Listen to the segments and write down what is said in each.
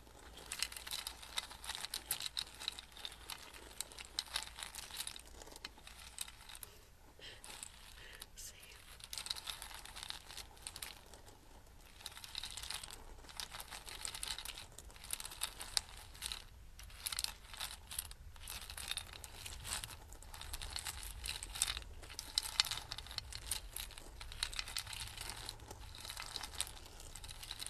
Save.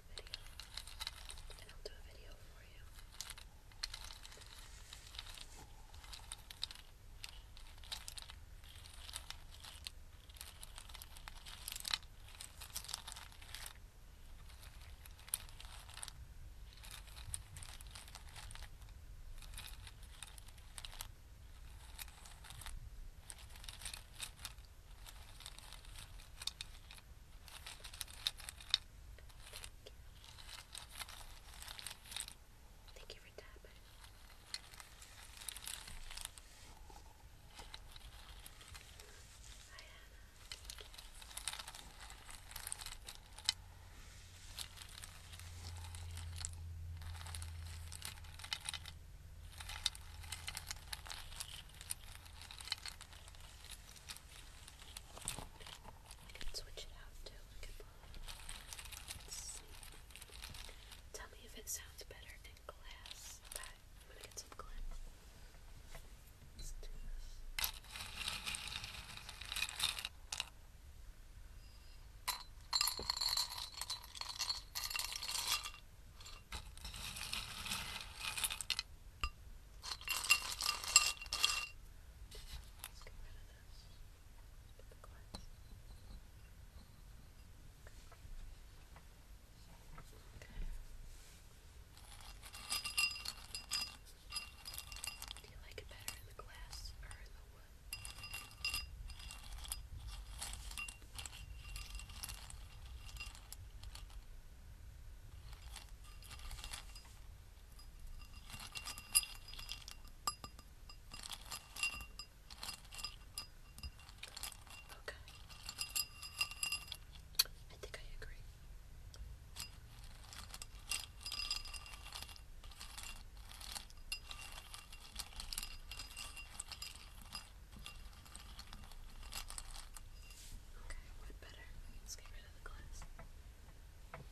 in a video, and I'll do a video for you. All Thank you for tapping. Hi, Anna. I can switch it out too. Tell me if it sounds better in glass. Let's do this. Do you like it better in the glass or in the wood? Okay. Okay. I think I agree. Okay, what better? Let's get rid of the glass. I like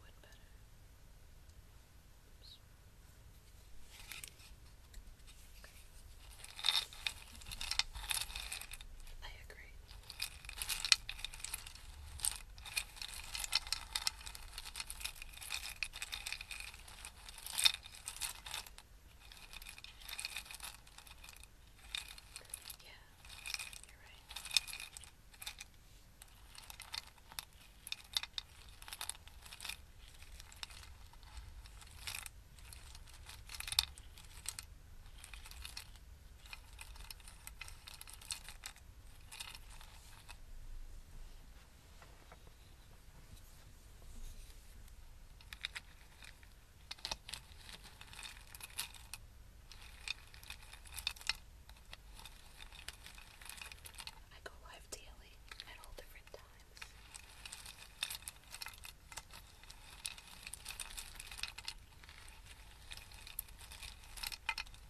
wood better. I agree. Yeah, you're right. I go live daily at all different times.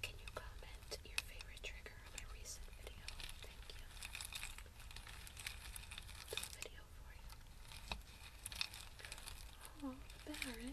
Can you comment your favorite trigger on my recent video? Thank you. video for you. Oh, the Thank you.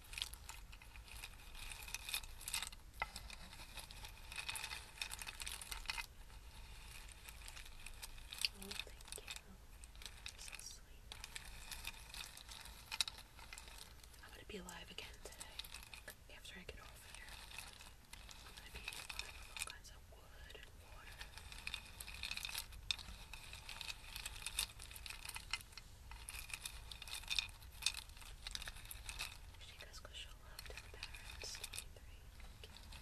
Oh, thank you. So sweet. I'm gonna be alive again today. After I get off here, I'm gonna be alive with all kinds of wood and water. She goes go show love to the parents. Twenty-three. Okay.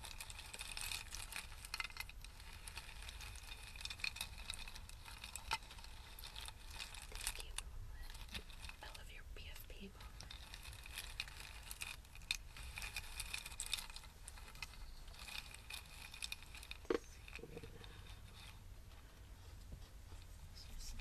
Thank you, Moonlit. I love your PFP moment. So sad.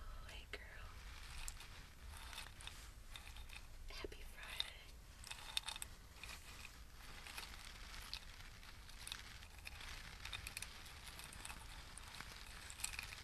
Oh, hey girl. Happy Friday.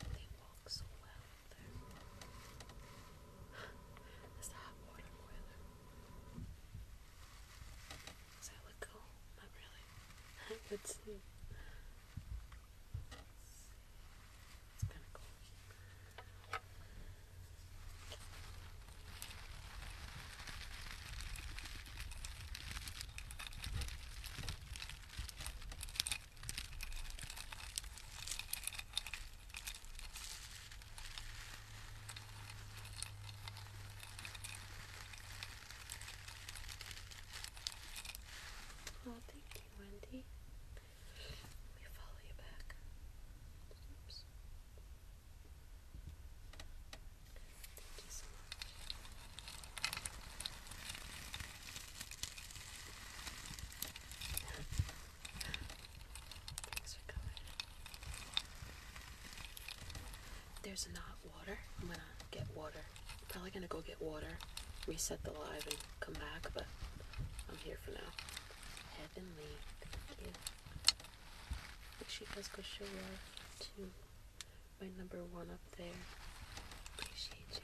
They walk so well there. That's the hot water boiler. Does that look cool? Not really. Let's see. It's kind of cool. Oh, thank you, Wendy. Let follow you back. Oops. Thank you so much. There's not water. I'm gonna get water. Probably gonna go get water, reset the live, and come back, but I'm here for now. Heavenly, thank you. She does go show my number one up there. Appreciate you.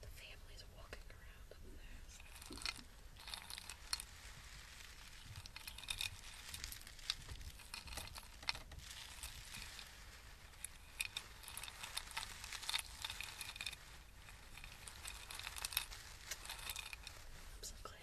The family's walking around up there. So. I'm so glad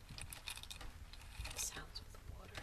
The sounds of the water.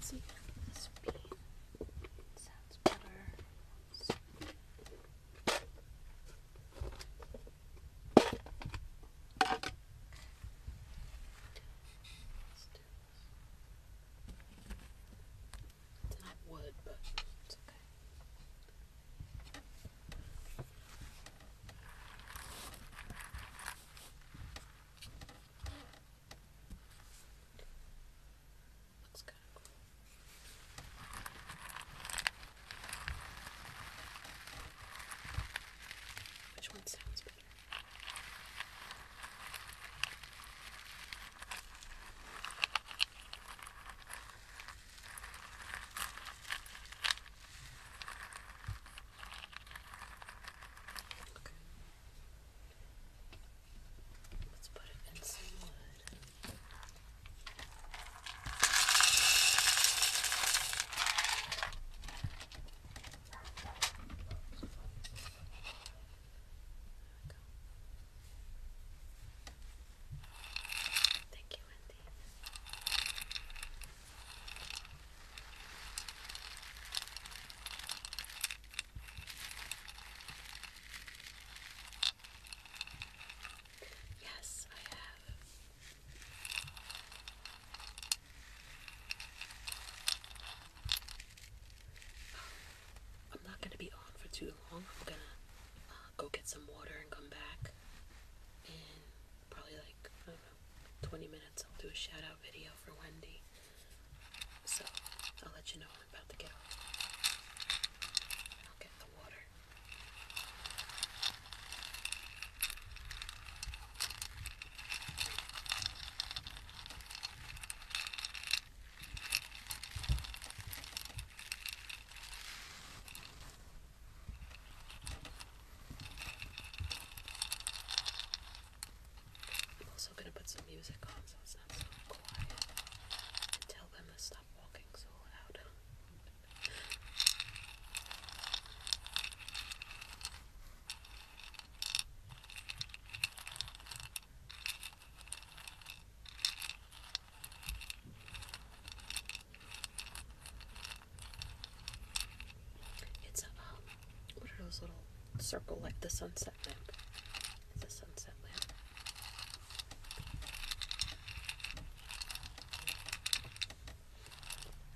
See if this bean sounds better. So it's not wood, but it's okay. Looks kind which one sounds better? Okay. Let's put it in some wood. Thank you, Wendy. Yes, I have. I'm not going to be on for too long. I'm going to uh, go get some water and come back. And probably like, I don't know, 20 minutes, I'll do a shout out video for Wendy. So I'll let you know I'm about to get off. I'll get the water. I'm also going to put some music on so it's not so quiet and tell them to stop walking so loud. It's a, um, what are those little circle like the sunset lamp? It's a sunset lamp.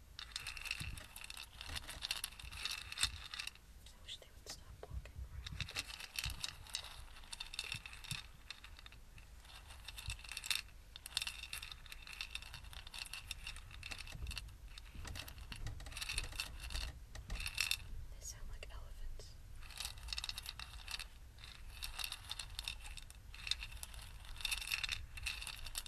I wish they would stop walking around. They sound like elephants. They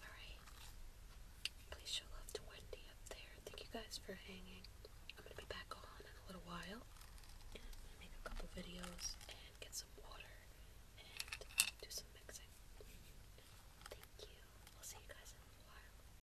Alright. Please show love to Wendy up there. Thank you guys for hanging. I'm gonna be back on in a little while. make a couple videos and get some water and do some mixing. Thank you. I'll see you guys in a little while.